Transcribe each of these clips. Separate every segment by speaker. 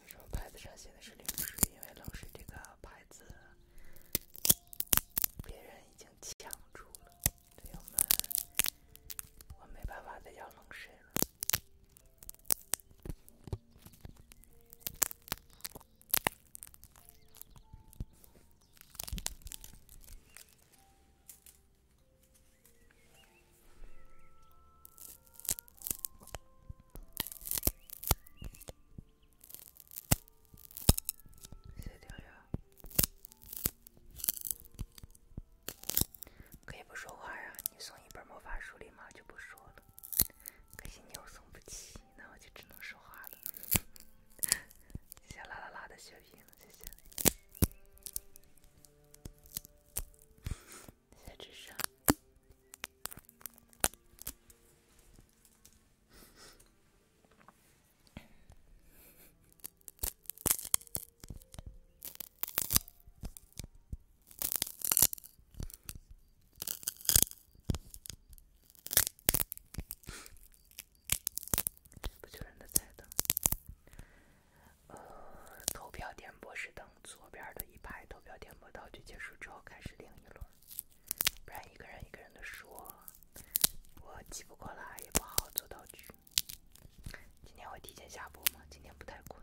Speaker 1: 为什么牌子上写的是冷水？因为冷水这个牌子，别人已经抢住了。队友们，我没办法再要冷水了。可以不说话呀？你送一本魔法书，立马就不说了。可惜你又送不起，那我就只能说话了。谢谢啦啦啦的血瓶，谢谢。在纸上。不确认的彩灯，呃，投票点播是等左边的一排投票点播道具结束之后开始另一轮，不然一个人一个人的说，我记不过来，也不好做道具。今天会提前下播吗？今天不太困。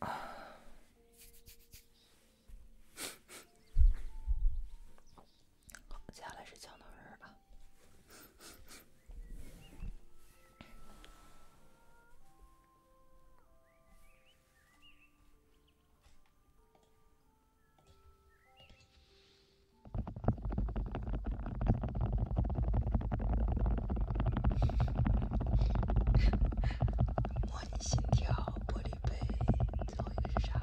Speaker 1: 好，接下来是讲到这儿吧。模拟心跳，玻璃杯，最后一个是啥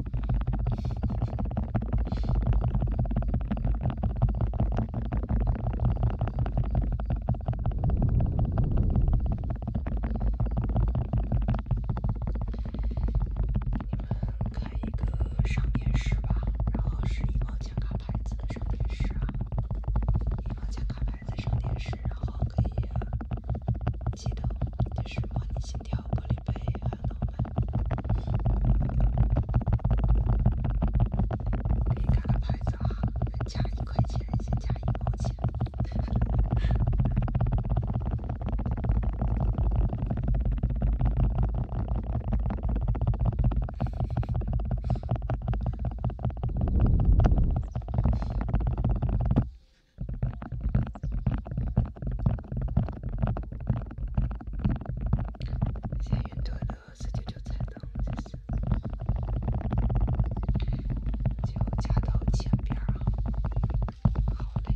Speaker 1: 你们开一个商店室吧，然后是一毛钱卡牌的商店室啊，一毛钱卡牌在商店室，然后可以。记得就是摸你心跳，玻璃杯很浪漫。可以改个牌子啊，加一块钱，先加一毛钱。先运转的，十九九彩灯就是，就加到前边儿啊。好嘞。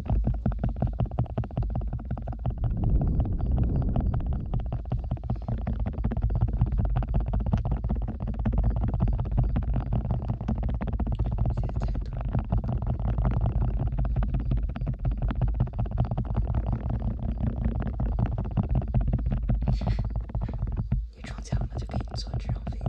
Speaker 1: 你中奖了，就给你坐这趟飞机。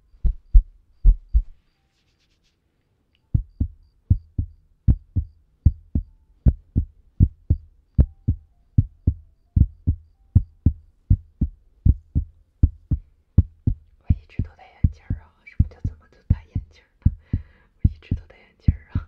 Speaker 1: 我一直都戴眼镜儿啊！什么叫怎么都戴眼镜儿呢？我一直都戴眼镜儿啊。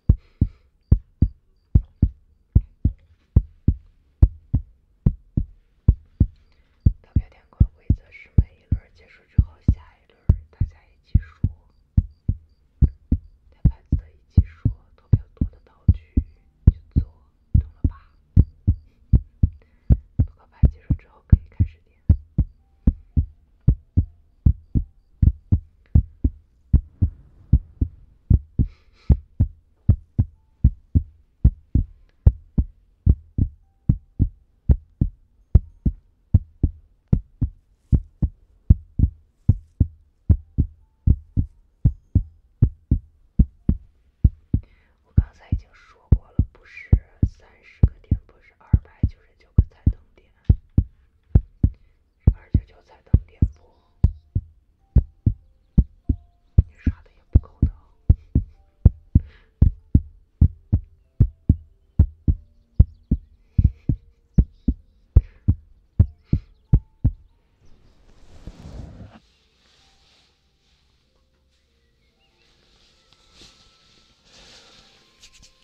Speaker 1: 投票点过了规则是每一轮结束之后，下一轮大家一起说，裁判一起说，投票多的道具去做，懂了吧？投票牌结束之后可以开始点。我刚才已经说过了，不是三十个点，不是二百九十九个彩灯点。二九九在等电播，你刷的也不够多。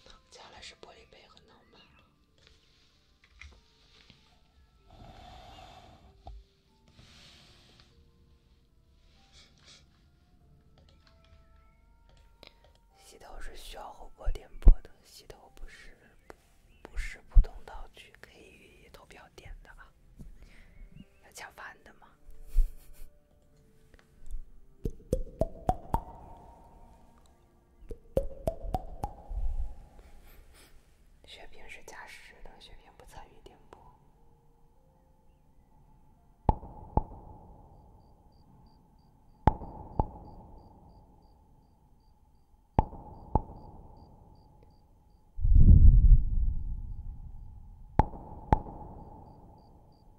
Speaker 1: 躺下来是玻璃杯和脑门。洗头是需要候播点播的，洗头不是不是普通道具可以投票点的啊，要抢番的吗？雪萍是驾驶的，雪萍不参与顶播。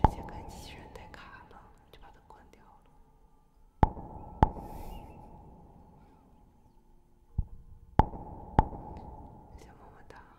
Speaker 1: 直接看机器人太卡了，就把它关掉了。
Speaker 2: 小么么哒。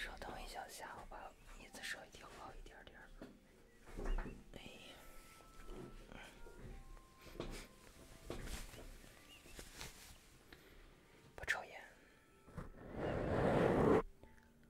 Speaker 1: 稍等一下，下我把椅子稍微调高一点点不抽烟。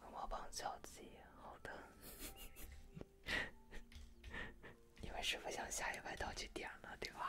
Speaker 1: 我帮小鸡。好的，因为师傅想下一外道具点了，对吧？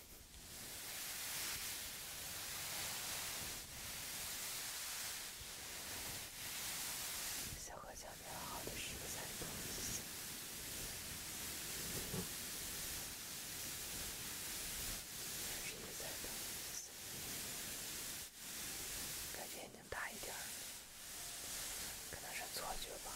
Speaker 1: 效果相对好的是三零零四四，还是三零零四？感觉眼睛大一点可能是错觉吧。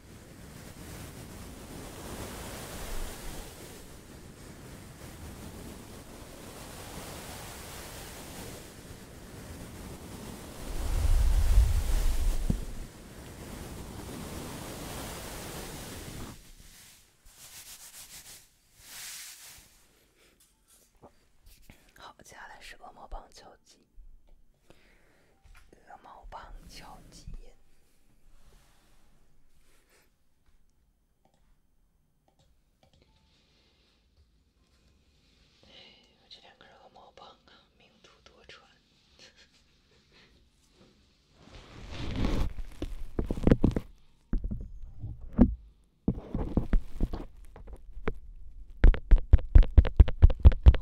Speaker 1: 好，接下来是恶魔棒敲击。鹅毛棒敲击。这两根毛棒啊，命途多舛。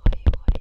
Speaker 1: 可以可以。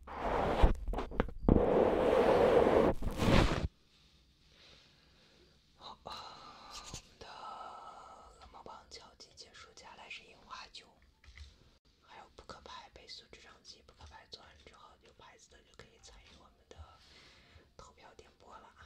Speaker 1: 好的，我们的恶魔棒敲击结束，接下来是樱花酒，还有扑克牌背诵智商题。扑克牌做完之后，有牌子的就可以参与我们的投票点播了啊。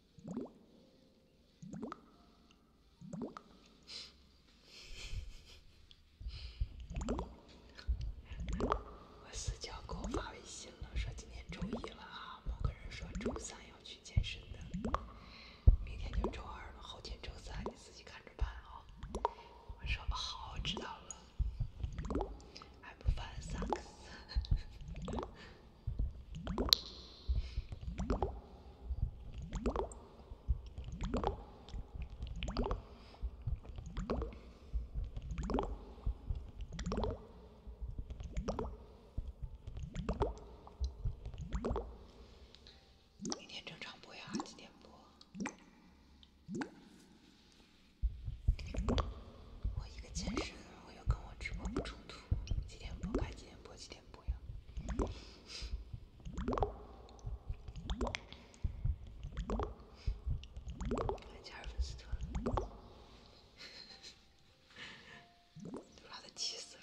Speaker 1: 我私教给我发微信了，说今天周一了哈。某个人说周三要去健身的，明天就周二了，后天周三，你自己看着办啊。我说好，知道了。还不 fine, 明天正常播呀，几点播？我一个健身。我要跟我直播不冲突，几天播开，几天播，几天播呀！安琪儿粉丝团，都把他急死了。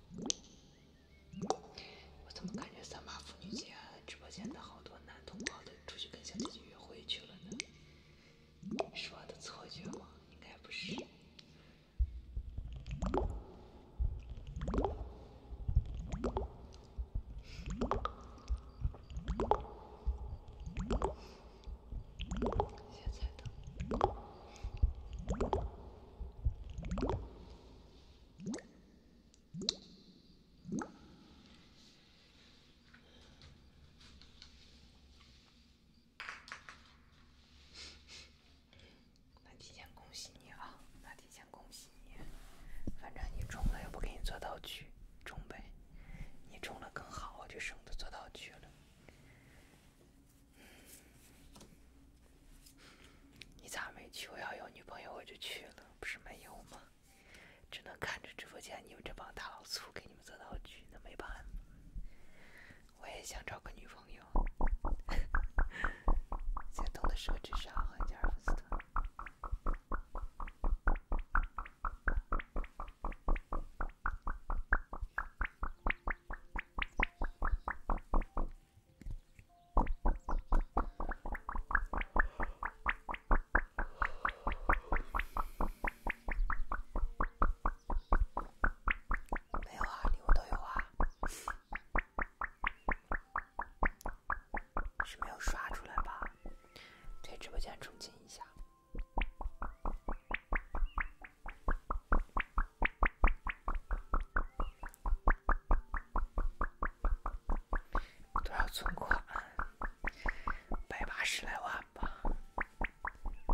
Speaker 1: 我怎么感觉三八妇女节直播间的好多男同胞都出去跟小姐姐约会去了呢？是的错觉吗？应该不是。那提前恭喜你啊！那提前恭喜你，反正你中了又不给你做道具，中呗。你中了更好，就省得做道具了。你咋没去？我要有女朋友我就去了，不是没有吗？只能看着直播间你们这帮大老粗给你们做道具，那没办法。我也想找个女朋友。先动的手指上，汉奸不没有啊，礼物都有啊，是没有刷出来吧？对，直播间重进一下。
Speaker 2: 多少存款？
Speaker 1: 百八十来万吧，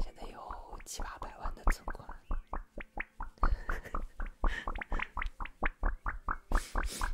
Speaker 1: 现在有七八百万的存款。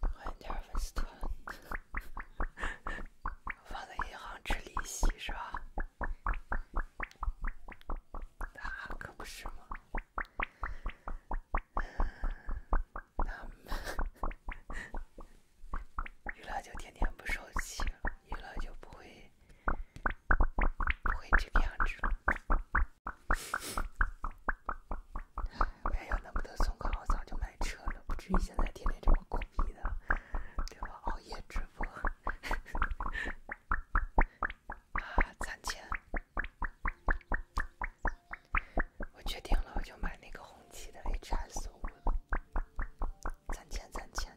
Speaker 2: 换点
Speaker 1: 放在银行吃利息是吧？
Speaker 2: 那可不是吗？
Speaker 1: 那娱乐就天天不生气，娱乐就不会不会这个样子了。我要那么的松垮，我早就买车了，不至于现在天天这么苦逼的，对吧？熬夜直播啊，攒钱！我决定了，我就买那个红旗的 HS5 了，攒钱，攒钱。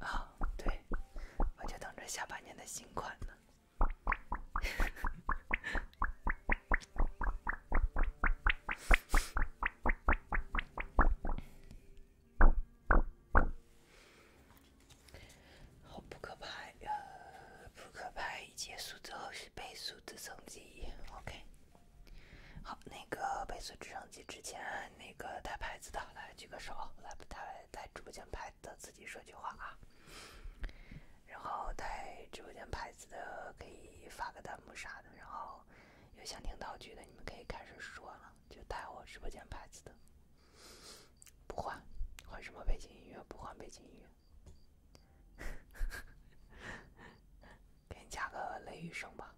Speaker 1: 啊，对，我就等着下半年的新款呢。好，扑克牌，呃，扑克牌结束之后是背数字乘积，OK。好，那个倍数字乘。之前那个带牌子的来举个手，来带带直播间牌子的自己说句话啊。然后带直播间牌子的可以发个弹幕啥的。然后有想听道具的你们可以开始说了，就带我直播间牌子的。不换，换什么背景音乐？不换背景音乐。给你加个雷雨声吧。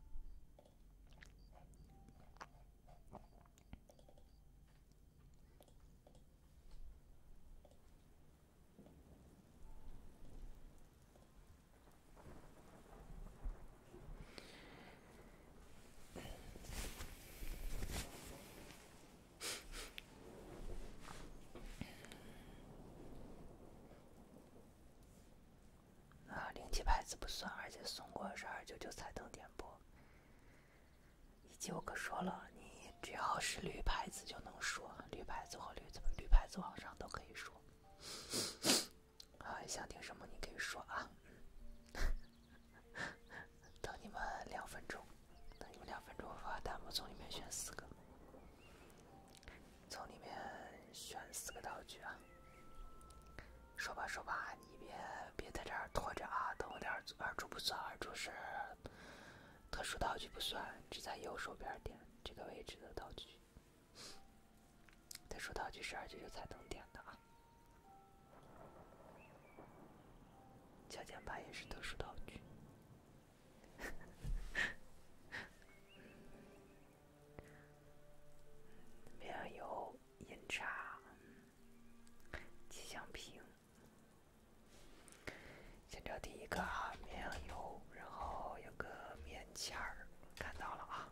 Speaker 1: 啊，零七牌子不算，而且送过是二九九彩灯点播。以及我可说了，你只要是绿牌子就能说，绿牌子和绿绿牌子网上都可以说。啊，想听什么你可以说啊。等你们两分钟，等你们两分钟，我发弹幕，从里面选四个，从里面选四个道具啊。说吧说吧，你别别在这儿拖着啊！等我点儿，二珠不算，二珠是特殊道具不算，只在右手边点这个位置的道具。特殊道具是二舅才能点的啊。敲键盘也是特殊道具。呵 呵有吉祥瓶。先找第一个啊，绵羊油，然后有个棉签儿，看到了啊。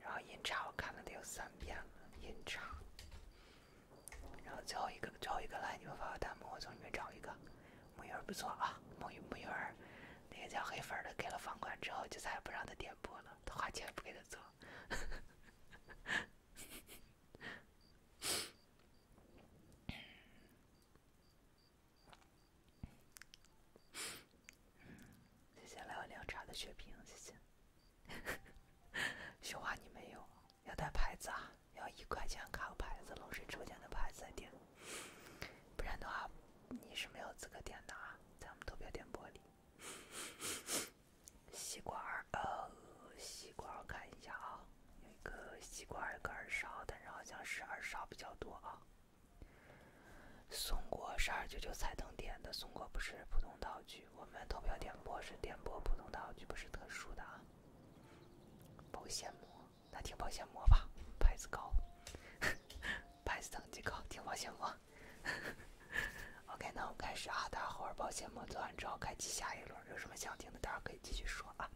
Speaker 1: 然后银叉，我看了得有三遍了，银叉。然后最后一个，最后一个来，你们发个弹幕，我从里面找一个，木鱼儿不错啊，木鱼木鱼儿，那个叫黑粉的给了房管之后，就再也不让他点播了。他花钱不给他做，哈哈，接下来要凉茶的血瓶，谢谢。雪花你没有，要带牌子，要一块钱卡牌子，冷水抽签的牌子点，不然的话你是没有资格点的啊，在我们投票点播里。吸管儿，呃，吸管儿，看一下啊，有一个吸管儿，一个耳勺，但是好像是耳勺比较多啊。松果是二九九彩灯点的，松果不是普通道具，我们投票点播是点播普通道具，不是特殊的啊。保鲜膜，那听保鲜膜吧，牌子高，牌子等级高，听保鲜膜。OK，那我们开始啊！待会儿保鲜膜做完之后，开启下一轮。有什么想听的，待会可以继续说啊。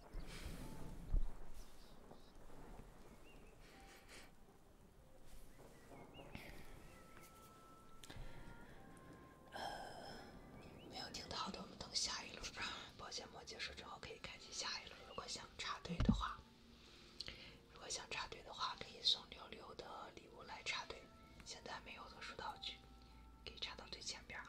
Speaker 1: 没有听到的，我们等下一轮保鲜膜结束之后，可以开启下一轮。如果想插队的话，如果想插队的话，可以送六六的礼物来插队。现在没有特殊道具，可以插到最前边啊。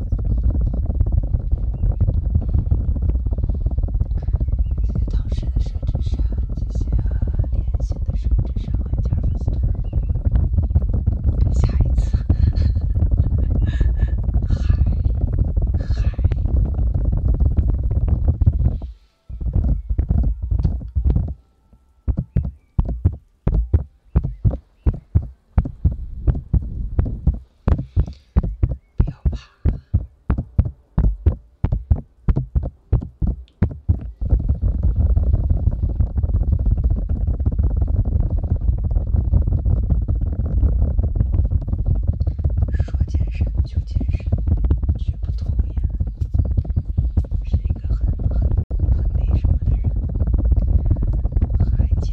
Speaker 1: 谢谢同事的设置上，谢谢联系的设置上，加粉丝。下一次，嗨不要怕。说健身就健身，绝不拖延。是一个很很很内什么的人，很爱健。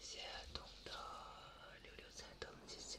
Speaker 1: 谢东的六六彩灯，谢谢。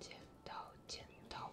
Speaker 1: 剪刀，剪刀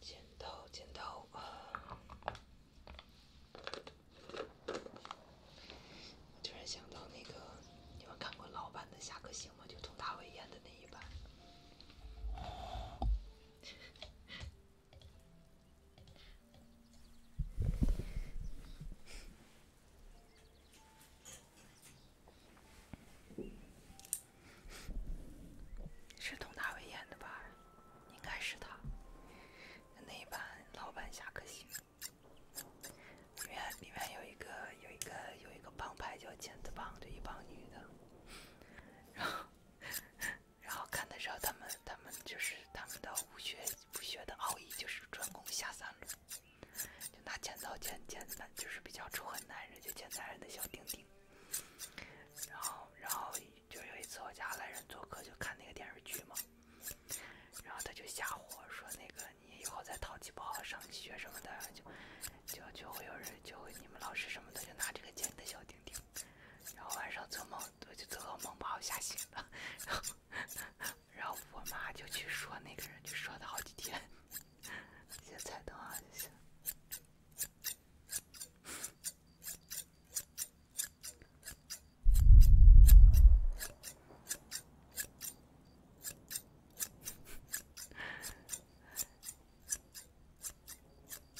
Speaker 1: 剪刀，剪刀啊！我突然想到那个，你们看过老版的《侠客行》吗？就佟大为演的那一版。是佟大为演的吧？应该是他。那一版老版《侠客行》，里面里面有一个有一个有一个帮派叫“剑子帮”，的一帮女的，然后。然后看的时候，他们他们就是他们的武学武学的奥义就是专攻下三路，就拿剪刀剪剪，就是比较仇恨男人就剪男人的小丁丁。然后然后就有一次我家来人做客就看那个电视剧嘛，然后他就吓唬我说那个你以后再淘气不好上学什么的，就就就会有人就会你们老师什么的就拿这个剪你的小丁丁。然后晚上做梦，我就做噩梦把我吓醒了。然后，然后我妈就去说那个人，就说他好几天，现在菜刀啊那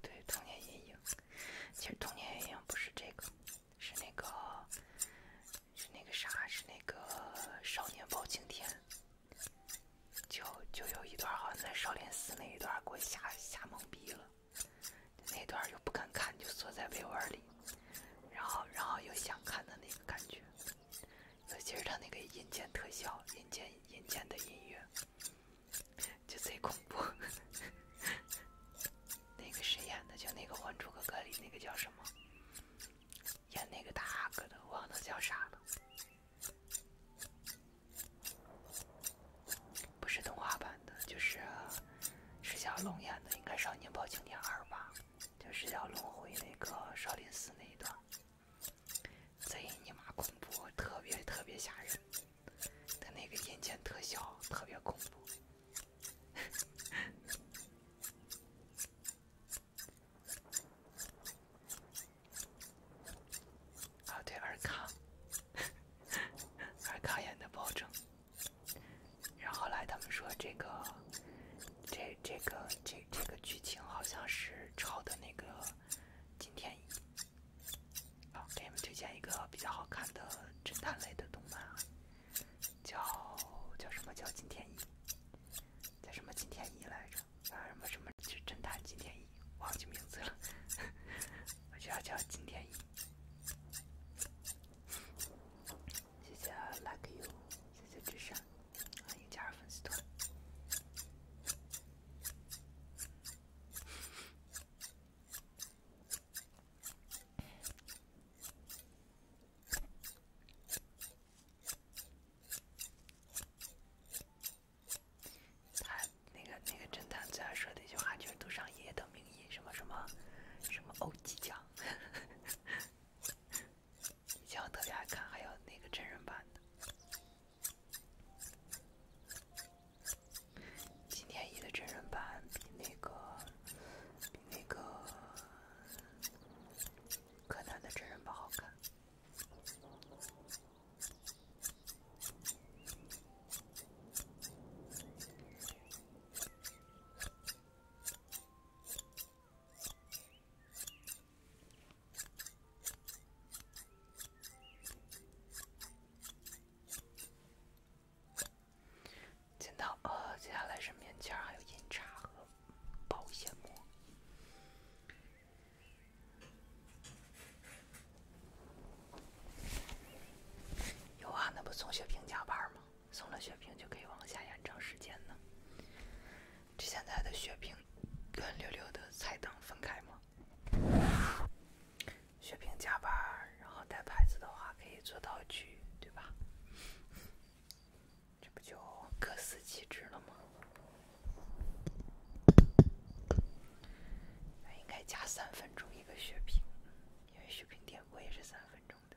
Speaker 1: 对童年阴影，其实童年阴影不是这个，是那个，是那个啥，是那个《少年包青天》，就就有一段，好像在少林寺那一段，给我吓吓懵逼了。那段又不敢看，就缩在被窝里，然后然后又想看的那个感觉。尤其是他那个阴间特效，阴间阴间的音乐。就贼恐怖，那个谁演的？就那个《还珠格格》里那个叫什么？演那个大阿哥的，忘了叫啥了。不是动画版的，就是释小龙演的，应该《少年包青天二》吧？就释小龙回那个少林寺那一段，贼你妈恐怖，特别特别吓人。他那个眼尖特效特别恐怖。
Speaker 2: 啊，对，尔康，尔康演的包拯。然后来他们说
Speaker 1: 这个，这这个这这个剧情好像是抄的那个金天一。好，给你们推荐一个比较好看的侦探类的动漫，叫叫什么叫金田一，叫什么金田一来着？叫什么什么？是侦探金田一，忘记名字了。我叫叫金田一。谢谢 Like you，谢谢智善，欢迎加入粉丝团。他那个那个侦探最爱说的一句话就是“杜尚爷爷的名义什么什么什么欧几将”，你 讲特别爱看，还有那个真人版的。金天一的真人版比那个、比那个
Speaker 2: 柯南的真人版好看。
Speaker 1: 剪刀，呃，接下来是棉签还有印茶和保鲜膜。有啊，那不送雪瓶加班吗？送了雪瓶就可以往下延长时间呢。这现在的雪瓶跟六六的菜蛋分开吗？雪平加班，然后带牌子的话可以做道具，对吧？这不就各司其职了吗？那应该加三分钟一个雪平。因为雪瓶点播也是三分钟的。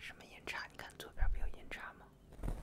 Speaker 1: 什么眼差？你看左边不有眼差吗？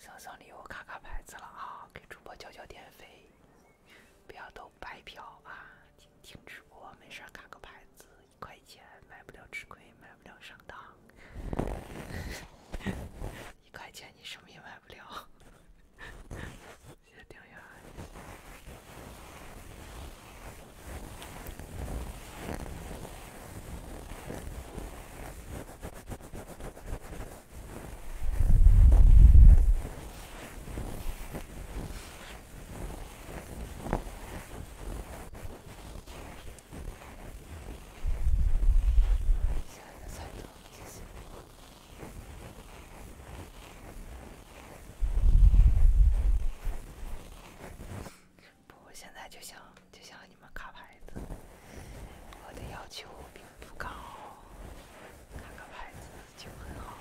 Speaker 1: 送送礼物，卡卡牌子了啊！给主播交交电费，不要都白嫖啊！听听直播，没事卡个牌子，一块钱买不了吃亏，买不了上当。一块钱你什么也买不了。先听一下。下现在就想，就想。你们卡牌子，我的要求并不高，卡个牌子就很好。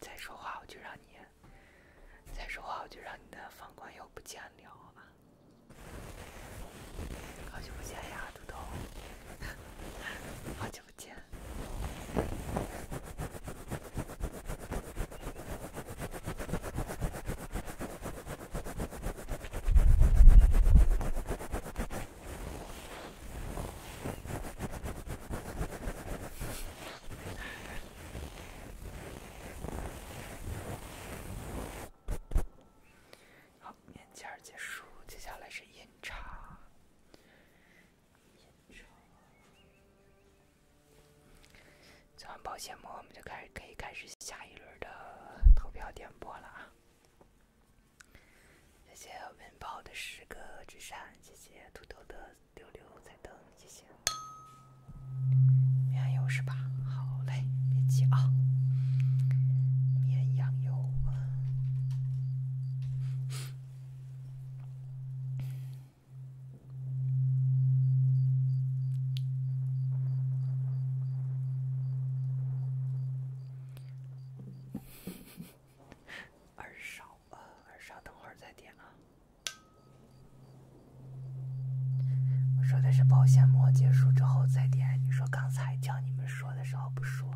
Speaker 1: 再说话我就让你，再说话我就让你的房管又不见了。好久
Speaker 2: 不见呀，猪头！好久不见。
Speaker 1: 好，面签结束，接下来是饮茶。做完保鲜膜，我们就开始可以开始下一轮的投票点播了啊。谢谢温宝的十个纸扇，谢谢土豆的六六彩灯，谢谢绵羊油是吧？好嘞，别急啊，绵羊油。二少啊，二少，等会儿再点啊！我说的是保鲜膜结束之后再点。你说刚才叫你们说的时候不说，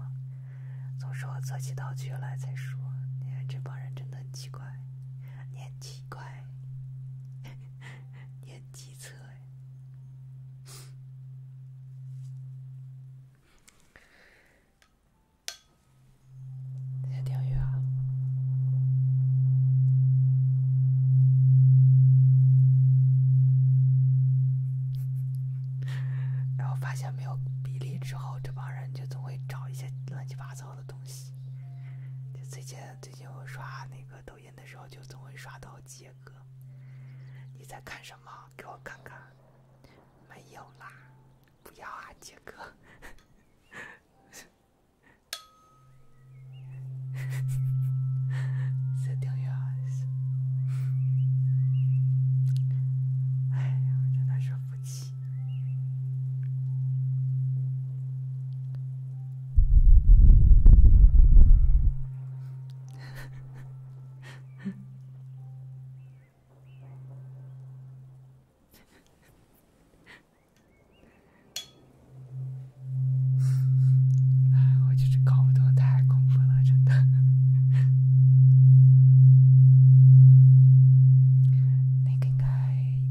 Speaker 1: 总说我做起道具来再说。你看这帮人真的很奇怪，也奇怪，也 奇特。在钓鱼啊！然后发现没有比例之后，这帮人就总会找一些乱七八糟的东西。就最近最近，我刷那个抖音的时候，就总会刷到杰哥。你在看什么？给我看看。没有啦，不要啊，杰哥！
Speaker 2: 唉，我就是
Speaker 1: 搞不懂，太恐怖了，真的。那个应该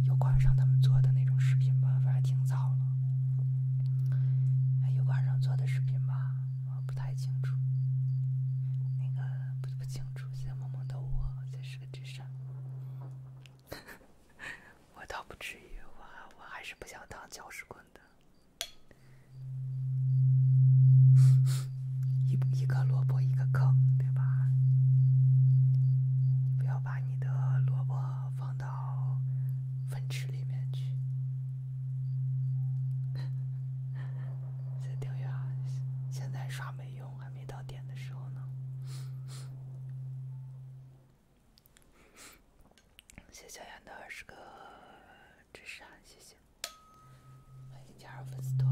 Speaker 1: 有官人他们做的那种视频吧，反正挺早了。有官人做的视频吧。我不太清楚，那个不不清楚。谢谢萌萌的我，这是个智商。我倒不至于，我我还是不想当搅屎棍的。一一个萝卜一个坑，对吧？不要把你的萝卜放到粪池里面去。在订阅啊，现在刷没用，还没到点的时候呢。谢小严的十个智商，谢谢，欢迎加入粉丝团。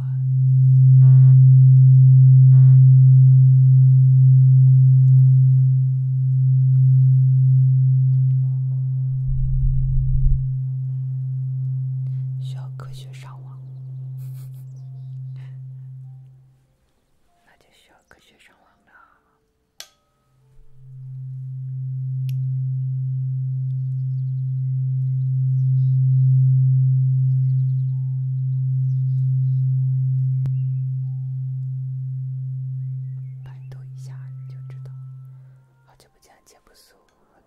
Speaker 1: 需要科学上网，那就需要科学上网了。百度一下你就知道。好久不见，见不熟。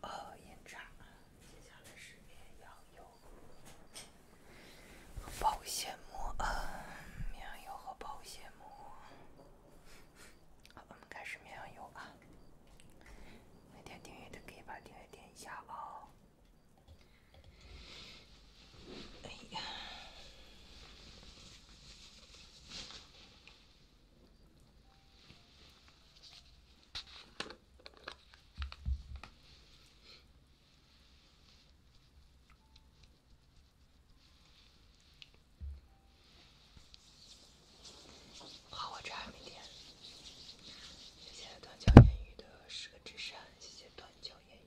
Speaker 1: 呃，眼罩。接下来是油保鲜膜，棉油和保鲜膜。好，我们开始绵羊游吧。每天订阅的可以把订阅点一下
Speaker 2: 哦。哎呀。好，我这还没点。谢谢断桥烟雨的十个之山，谢谢断桥烟雨。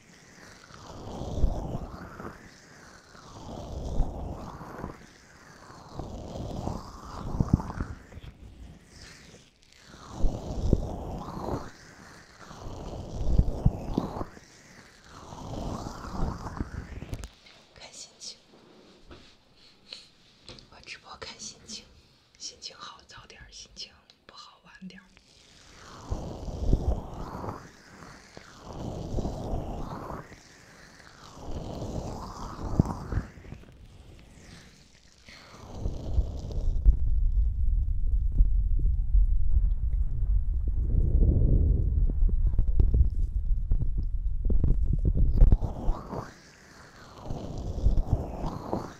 Speaker 1: 看心情，我直播看心情，心情好早点儿心情。不好玩点儿。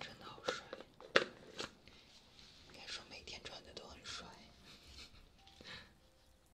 Speaker 1: 真的好帅，应该说每天穿的都很帅。